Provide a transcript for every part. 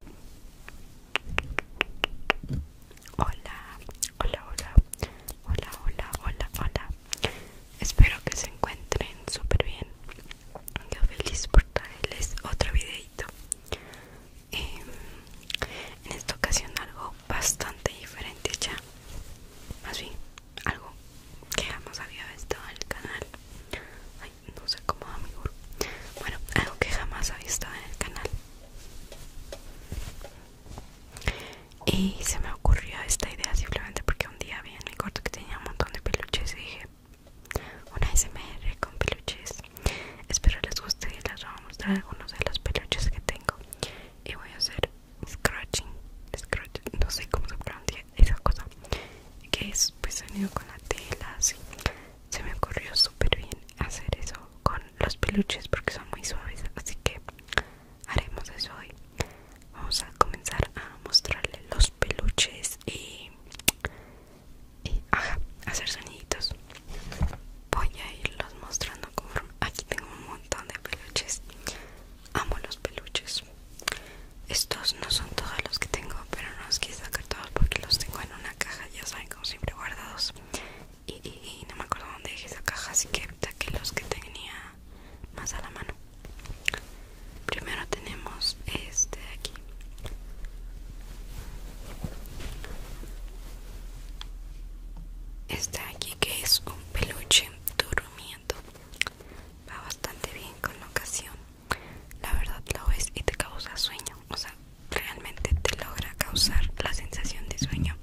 Hola, hola, hola, hola, hola, hola, hola. Espero que se encuentren súper bien. Yo feliz por traerles otro videito. Em, en esta ocasión algo bastante diferente ya. Más bien, algo que hemos había visto en el canal no sé cómo amigo bueno algo que jamás ha visto en el canal y se me ocurrió esta idea simplemente porque un día vi en mi corto que tenía un montón de peluches y dije una smr con peluches espero les guste y les voy a mostrar algunos de los peluches que tengo y voy a hacer scratching no sé cómo se pronuncia esa cosa que es pues sonido con la tela así se me ocurrió súper bien hacer eso con los peluches porque son muy suaves así que haremos eso hoy vamos a comenzar a mostrarle los peluches y, hacer soniditos voy a irlos mostrando aquí tengo un montón de peluches amo los peluches estos no son todos los que tengo pero no los quise sacar todos porque los tengo en una caja, ya saben, como siempre guardados. Y, no me acuerdo dónde dejé esa caja, así que los que tenía más a la mano. Primero tenemos este de aquí. Este de aquí que es un peluche durmiendo. Va bastante bien con la ocasión la verdad lo es y te causa sueño, o sea, realmente te logra causar la sensación de sueño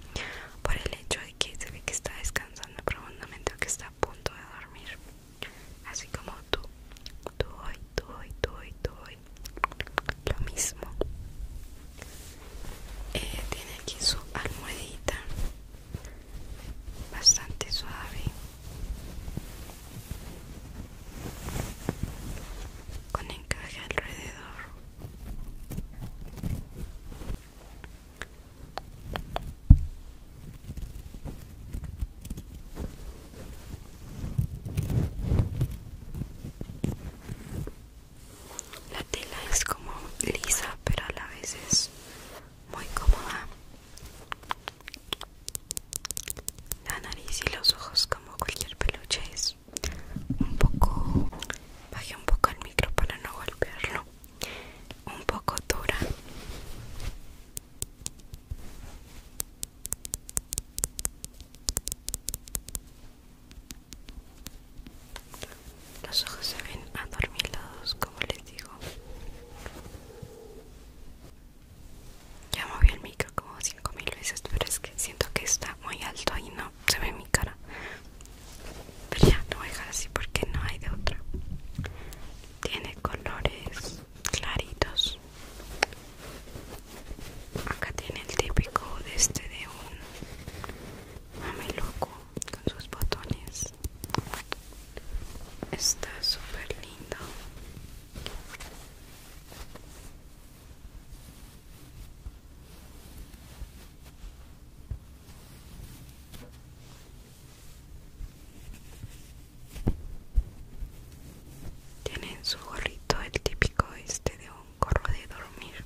por el hecho de que se ve que está descansando profundamente o que está a punto de dormir, así como tú, tú hoy, tú hoy, tú hoy, tú hoy, lo mismo. Eh, tiene aquí su almohadita bastante suave con encaje alrededor la tela es como lisa pero a la vez es muy cómoda la nariz y los ojos como cualquier peluche es un poco... baje un poco el micro para no golpearlo. Un poco dura. Los ojos se ven adormilados, como les digo. Ya moví el micro como 5000 veces, pero es que siento que está muy alto y no se ve mi cara. Pero ya no voy a dejar así porque no hay de otra. Tiene colores claritos. Acá tiene el típico de este de un loco con sus botones. Está súper lindo. Tiene en su gorrito el típico este de un gorro de dormir.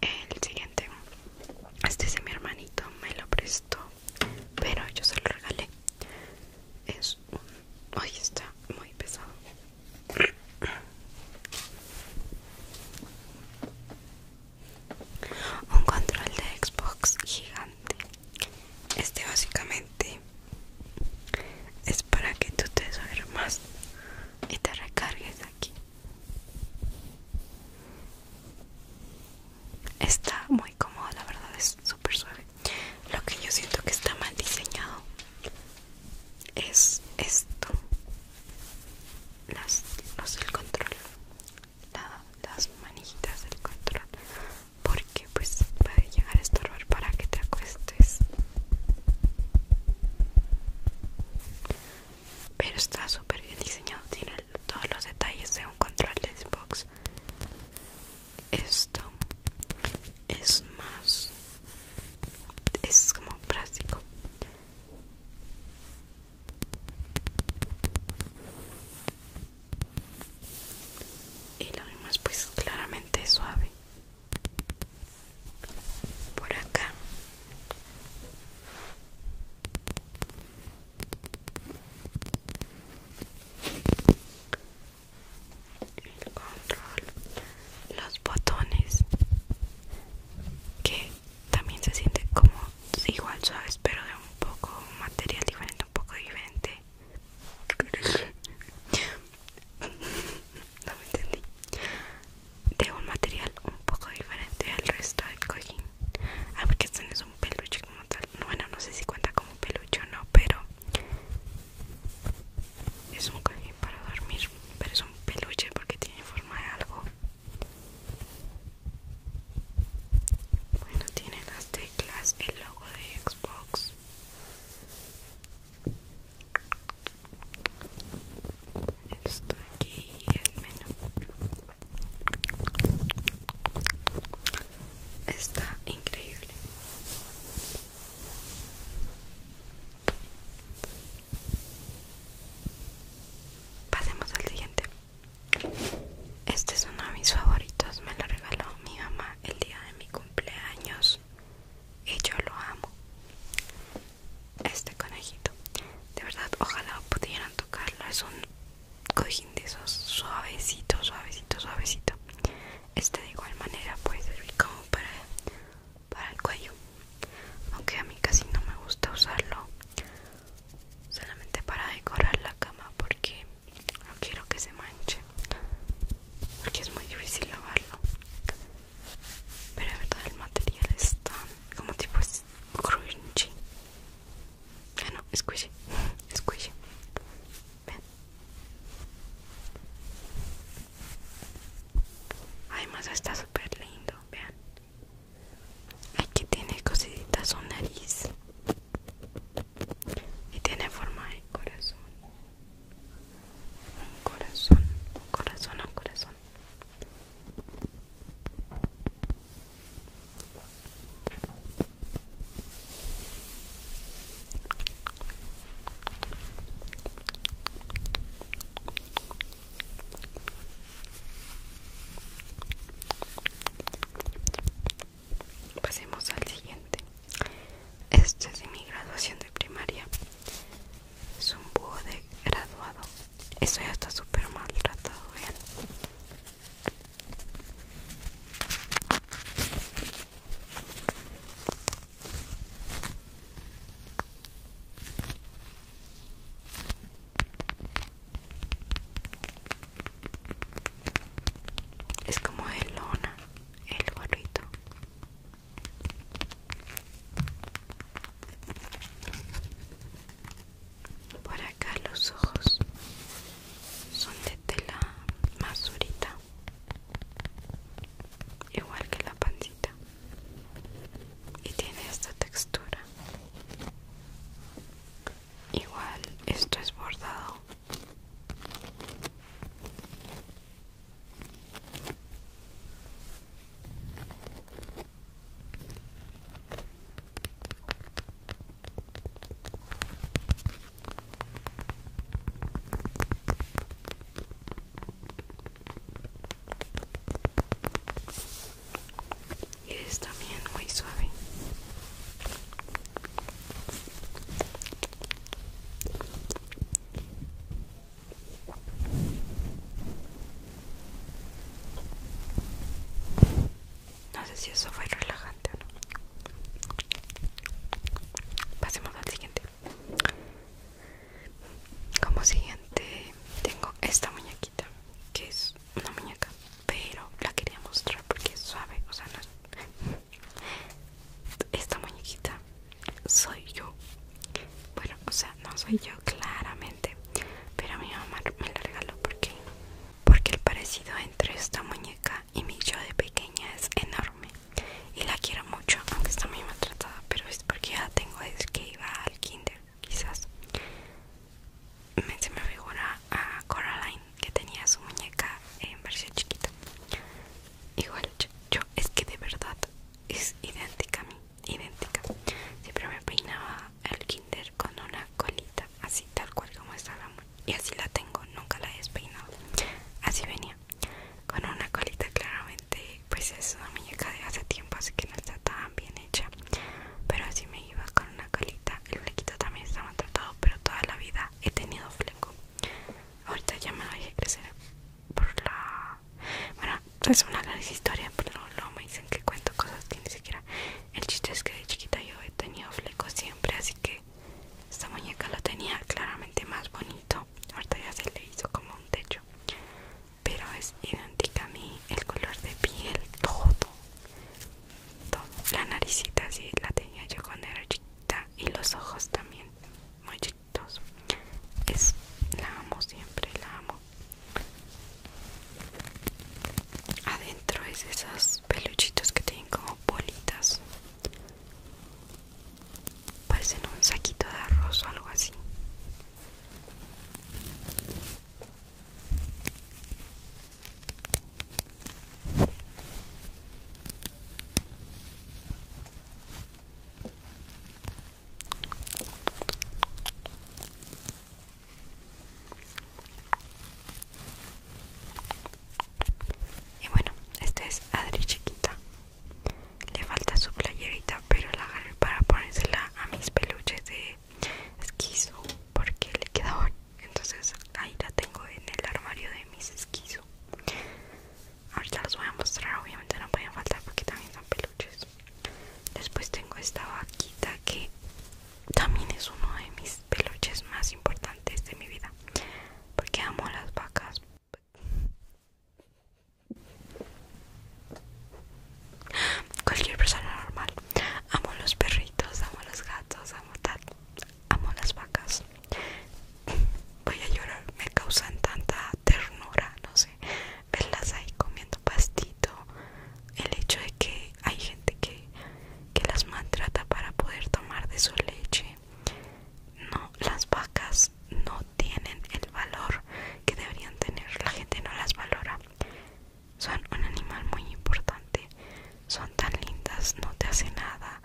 el siguiente este es mi hermanito me lo prestó pero yo se lo regalé es un hoy está muy pesado un control de Xbox gigante este básicamente es para que tú te más y te recargues aquí Está muy cómodo, la verdad es súper suave. Lo que yo siento que está mal diseñado es esto. Las, el control. las manijitas del control. Porque pues puede llegar a estorbar para que te acuestes pero está súper bien diseñado tiene todos los detalles de un control de Xbox esto es más es como plástico y lo es pues claramente suave por acá el control los botones que también se siente como igual suaves pero de un poco material diferente un poco diferente no me entendí de un material un poco diferente al resto del cojín ah porque este no es un peluche como tal bueno no sé si cuenta como peluche o no pero es un cojín para dormir pero es un peluche porque tiene forma de algo bueno tiene las teclas el logo de Xbox esto aquí el menú está increíble. Pasemos al siguiente. Este es uno de mis favoritos, me lo regaló mi mamá el día de mi cumpleaños y yo lo amo este conejito. De verdad, ojalá pudieran tocarlo. Es un cojín de esos suavecito, suavecito, suavecito. Este de igual manera puede servir como para, para el cuello. Aunque a mí casi no me gusta usarlo solamente para decorar la cama porque no quiero que se manche. Porque es muy difícil lavarlo pero de verdad el material es tan como tipo crunchy ah no, squishy squishy ven además está súper lindo vean aquí tiene cositas su nariz y tiene forma de corazón un corazón, un corazón, un corazón. Pasemos al siguiente. Este es de mi graduación de primaria. Es un búho de graduado. Eso ya está súper maltratado, vean. Es como de lona el gorrito. Por acá los ojos son de tela masurita, igual que la pancita, y tiene esta textura. Igual esto es bordado y es también muy suave. No sé si eso fue relajante o no. Pasemos al siguiente. Como siguiente tengo esta muñequita, que es una muñeca, pero la quería mostrar porque es suave, o sea, no es esta muñequita soy yo. Bueno, o sea, no soy yo claramente, pero mi mamá me la regaló porque porque el parecido entre esta muñeca y mi yo de pequeña es enorme y la quiero mucho, aunque está muy maltratada, pero es porque ya tengo desde que iba al kinder, quizás. se me figura a Coraline que tenía su muñeca en versión chiquita igual yo, es que de verdad es idéntica a mí idéntica siempre me peinaba el kinder con una colita así tal cual como estaba y así la tengo nunca la he despeinado así venía con una colita claramente pues es una muñeca de hace tiempo así que no estaba tan bien hecha pero así me iba con una colita el flequito también estaba tratado pero toda la vida he tenido fleco ahorita ya me lo dejé crecer por la bueno es una gran historia pero no me dicen que cuento cosas ni siquiera el chiste es que de chiquita yo he tenido flecos siempre así que esta muñeca lo tenía claramente más bonito ahorita ya se le hizo como un techo pero es idéntica a mí el color de piel todo, todo. la naricita así la tenía yo cuando era chiquita y los ojos también muy chiquitos es la amo siempre la amo adentro es esos peluchitos que tienen como bolitas parecen un saquito de arroz o algo así y bueno, esta es Adri chiquita. Le falta su playerita, pero la agarré para ponérsela a mis peluches de esquizo porque le queda entonces ahí la tengo en el armario de mis esquizo ahorita los voy a mostrar obviamente no pueden faltar porque también son peluches después tengo esta vaquita que también es uno de mis peluches más importantes de mi vida porque amo las vacas cualquier persona normal amo los perritos amo los gatos amo tal amo las vacas voy a llorar me causan tanta ternura no sé verlas ahí comiendo pastito el hecho de que hay gente que, que las maltrata para poder tomar de su leche no las vacas no tienen el valor que deberían tener la gente no las valora son un animal muy importante son tan lindas, no te hace nada.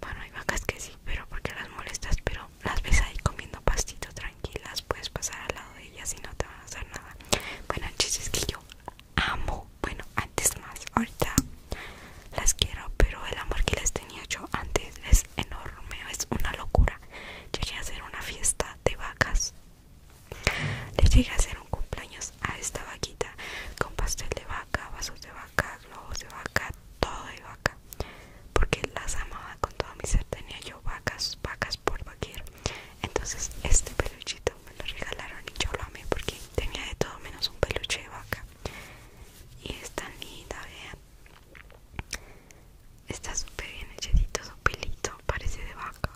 Bueno, hay vacas que sí, pero porque las molestas, pero las ves ahí comiendo pastito tranquilas, puedes pasar al lado de ellas y no te van a hacer nada. Bueno, el es que yo amo, bueno, antes más, ahorita las quiero, pero el amor que les tenía yo antes es enorme, es una locura. Llegué a hacer una fiesta de vacas, les llegué a hacer un cumpleaños a esta vaquita con pastel de vaca, vasos de vaca, globos de vaca, todo de vaca, porque las amaba con todo mi ser. Tenía yo vacas, vacas por vaquero. Entonces, este peluchito me lo regalaron y yo lo amé porque tenía de todo menos un peluche de vaca. Y es tan linda, vean. Está súper bien Echadito su pelito parece de vaca.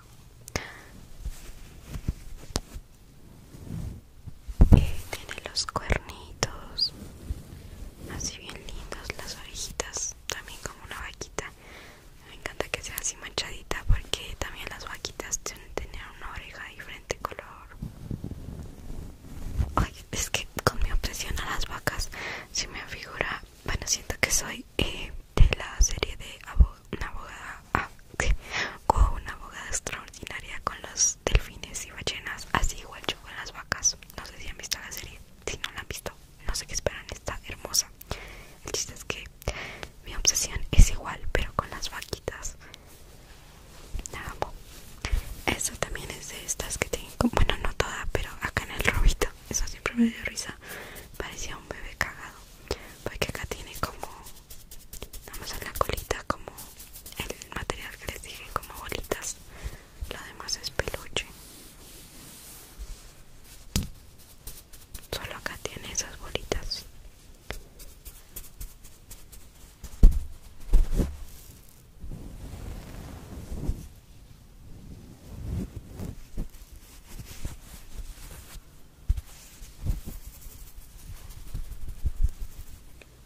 Eh, tiene los cuernitos así bien lindos, las orejitas también como una vaquita. Me encanta que sea así manchadita porque también las vaquitas tienen tener una oreja diferente color. Ay, es que con mi obsesión a las vacas Si me figura, bueno siento que soy eh, de la serie de Abo una abogada ah, una abogada extraordinaria con los delfines y ballenas Así igual yo con las vacas No sé si han visto la serie Si no la han visto, no sé qué esperan, está hermosa El chiste es que mi obsesión es igual, pero con las vaquitas La Esta también es de estas que tienen, bueno no toda, pero acá en el robito Eso siempre me dio risa Parecía un bebé cagado porque acá tiene como Vamos a la colita como el material que les dije, como bolitas. Lo demás es peluche. Solo acá tiene esas bolitas.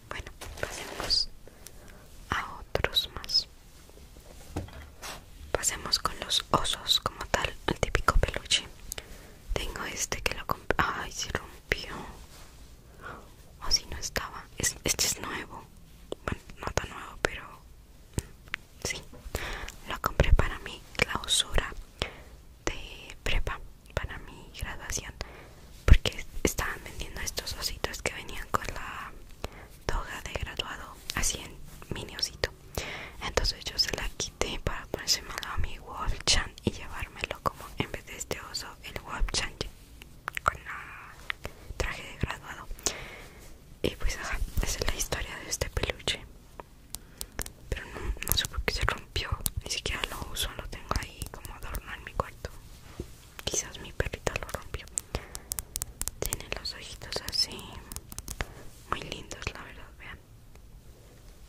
Bueno, pasemos a otros más. Pasemos con los osos como tal, el típico peluche. Tengo este que lo compré. Ay, se rompió. O si no estaba. este es nuevo. Bueno, no tan nuevo, pero sí. Lo compré para mi clausura de prepa para mi graduación porque estaban vendiendo estos ositos que venían con la toga de graduado así en mini osito entonces yo se la quité para malo a mi chan y llevármelo como en vez de este oso el chan con el traje de graduado y pues esa es la historia de este peluche pero no, sé por qué se rompió ni siquiera lo uso lo tengo ahí como adorno en mi cuarto quizás mi perrita lo rompió tiene los ojitos así muy lindos la verdad vean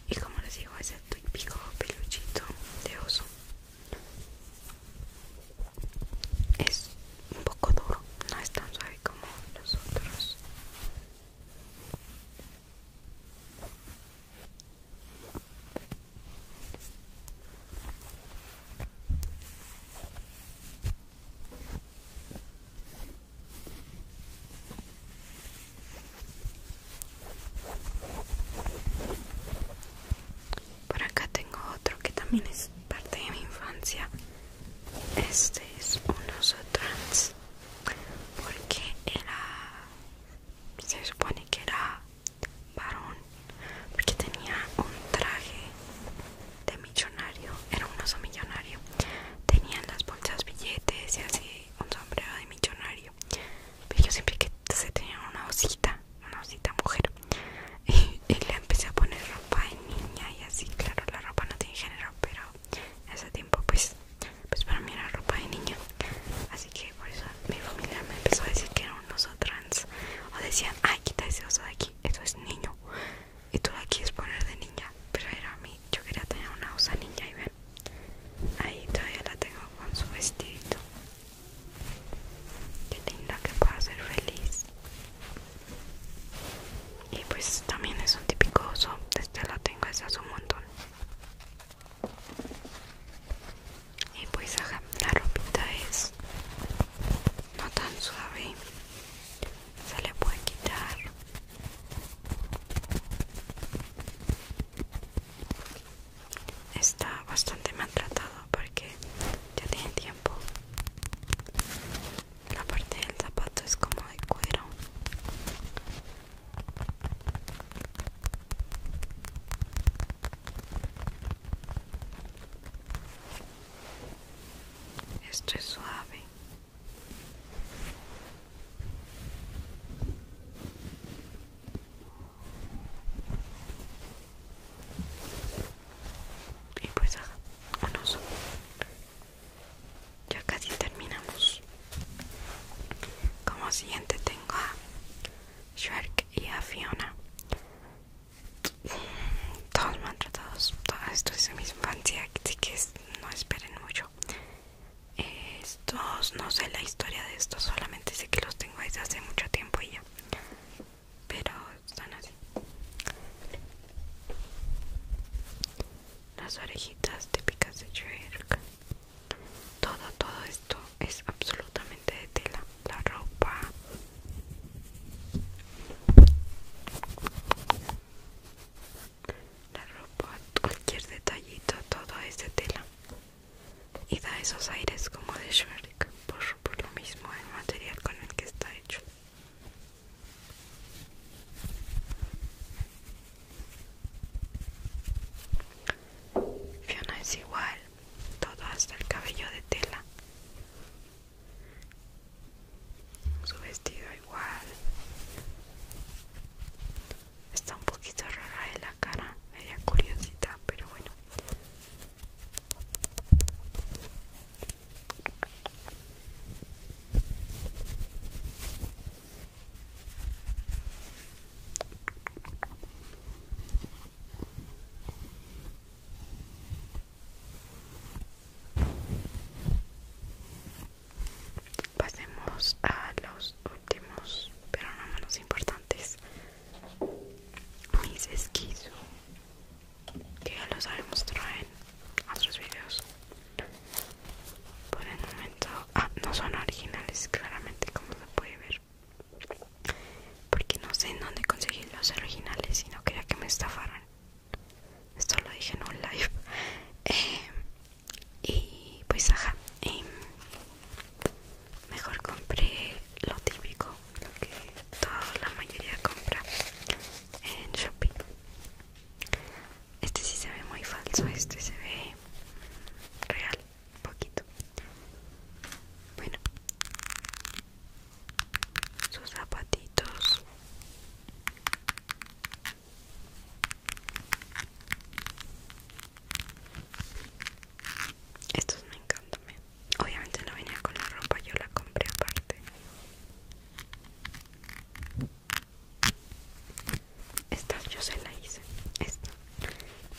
y como les digo es el típico peluchito de oso es un poco duro no es tan suave como los otros por acá tengo otro que también es parte de mi infancia. Este es un oso trans porque era se supone que era varón porque tenía un traje de millonario era un oso millonario tenía en las bolsas billetes y así un sombrero de millonario pero yo siempre que se tenía una osita una osita mujer y, le empecé a poner ropa de niña y así claro la ropa no tiene género pero hace ese tiempo pues pues, para mí era ropa de niña. Así que por eso mi familia me empezó a decir que era un oso trans. O decían, ay, quita ese oso de aquí, eso es niño. Y tú aquí es poner de niña. Pero era a mí, yo quería tener una osa niña y ven. Ahí todavía la tengo con su vestidito. Qué linda que puedo ser feliz y pues también es un típico oso este lo tengo desde hace un montón y pues la ropita es no tan suave se le puede quitar está bastante maltratado porque ya tiene tiempo la parte del zapato es como de cuero esto es suave y pues ya casi terminamos como siguiente tengo a Shark y a Fiona todos maltratados esto es de mi infancia así que no esperen mucho estos no sé la historia de estos solamente sé que los tengo desde hace mucho tiempo y ya pero están así las orejitas típicas de Shrek. Todo, todo esto es absolutamente de tela. La ropa. La ropa, cualquier detallito, todo es de tela. Y da esos aires como de Shrek por, por lo mismo el material con el que está hecho. Fiona es igual, todo hasta el cabello de tela. Su vestido igual. Está un poquito rara de la cara, media curiosita, pero bueno. Pasemos a los últimos, pero no menos importantes, mis esquizos que ya los haré mostrar en otros videos por el momento ah, no son originales claramente como se puede ver porque no sé en dónde conseguí los originales y no quería que me estafaran esto lo dije en un live eh, y pues ajá eh, mejor compré lo típico lo que toda la mayoría compra en shopping este sí se ve muy falso, este se ve real, poquito. Bueno, sus zapatitos. Estos me encantan. ¿eh? Obviamente no venía con la ropa, yo la compré aparte. Esta yo se la hice. Esta.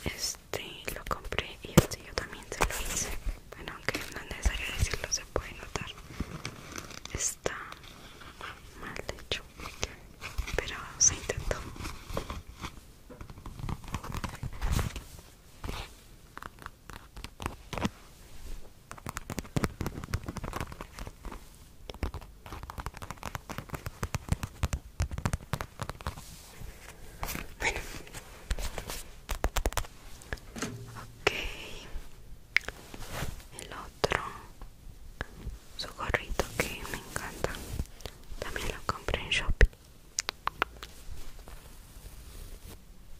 Este lo compré y este yo también se lo hice. Bueno, aunque no es necesario decirlo, se puede notar. Está mal hecho. Pero se intentó. Bueno. Ok. El otro. Su gorrito que me encanta. También lo compré en Shopping.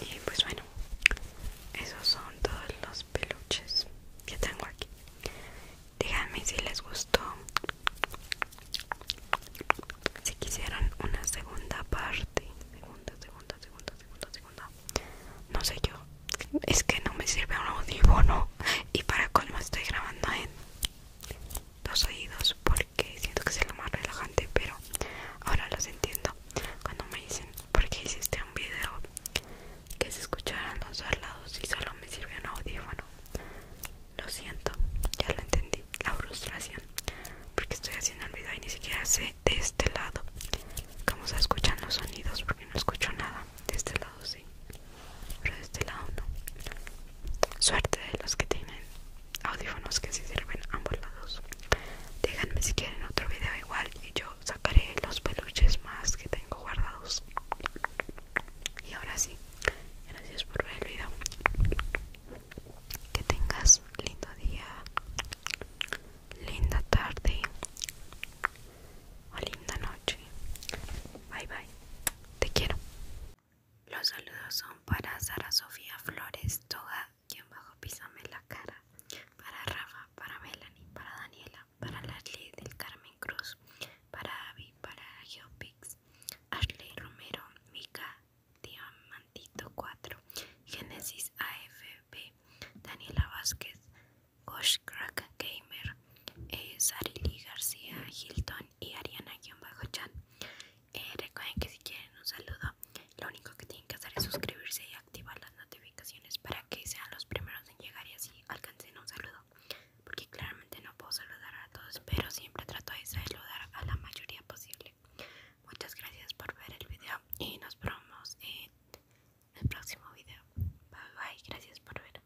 Y pues bueno, esos son todos los peluches que tengo aquí. Díganme si les gustó. Si quisieran una segunda parte. Segunda, segunda, segunda, segunda, segunda. No sé yo. Es que no me sirve un no Y para colmo estoy grabando en los oídos porque siento que es lo más relajante pero ahora los entiendo cuando me dicen porque hiciste un video que se escucharan los dos lados y solo me sirve un audífono lo siento ya lo entendí la frustración porque estoy haciendo el video y ni siquiera sé de este lado cómo se escuchan los sonidos porque no escucho nada de este lado sí pero de este lado no suerte de los que tienen audífonos que sí sirven ambos lados Déjenme si quieren otro video igual y yo sacaré los peluches más que tengo guardados y ahora sí gracias por ver el video que tengas lindo día linda tarde o linda noche bye bye te quiero los saludos son para Sara Sofía Flores Toga, quien bajo Písame la cara, para Rafa, para Melanie, para Daniela, para Leslie del Carmen Cruz, para Avi, para Geopix, Ashley Romero, Mika Diamantito 4, Genesis AFB, Daniela Vázquez, Gosh Crack Gamer, es eh, Sarili García Hilton y Ariana-Chan. Eh, recuerden que si quieren un saludo, lo único que tienen que hacer es suscribirse y activar las notificaciones para que sean los primeros en llegar y así alcancen un saludo. Porque claramente no puedo saludar a todos, pero siempre trato de saludar a la mayoría posible. Muchas gracias por ver el video y nos vemos en el próximo video. Bye bye, gracias por ver.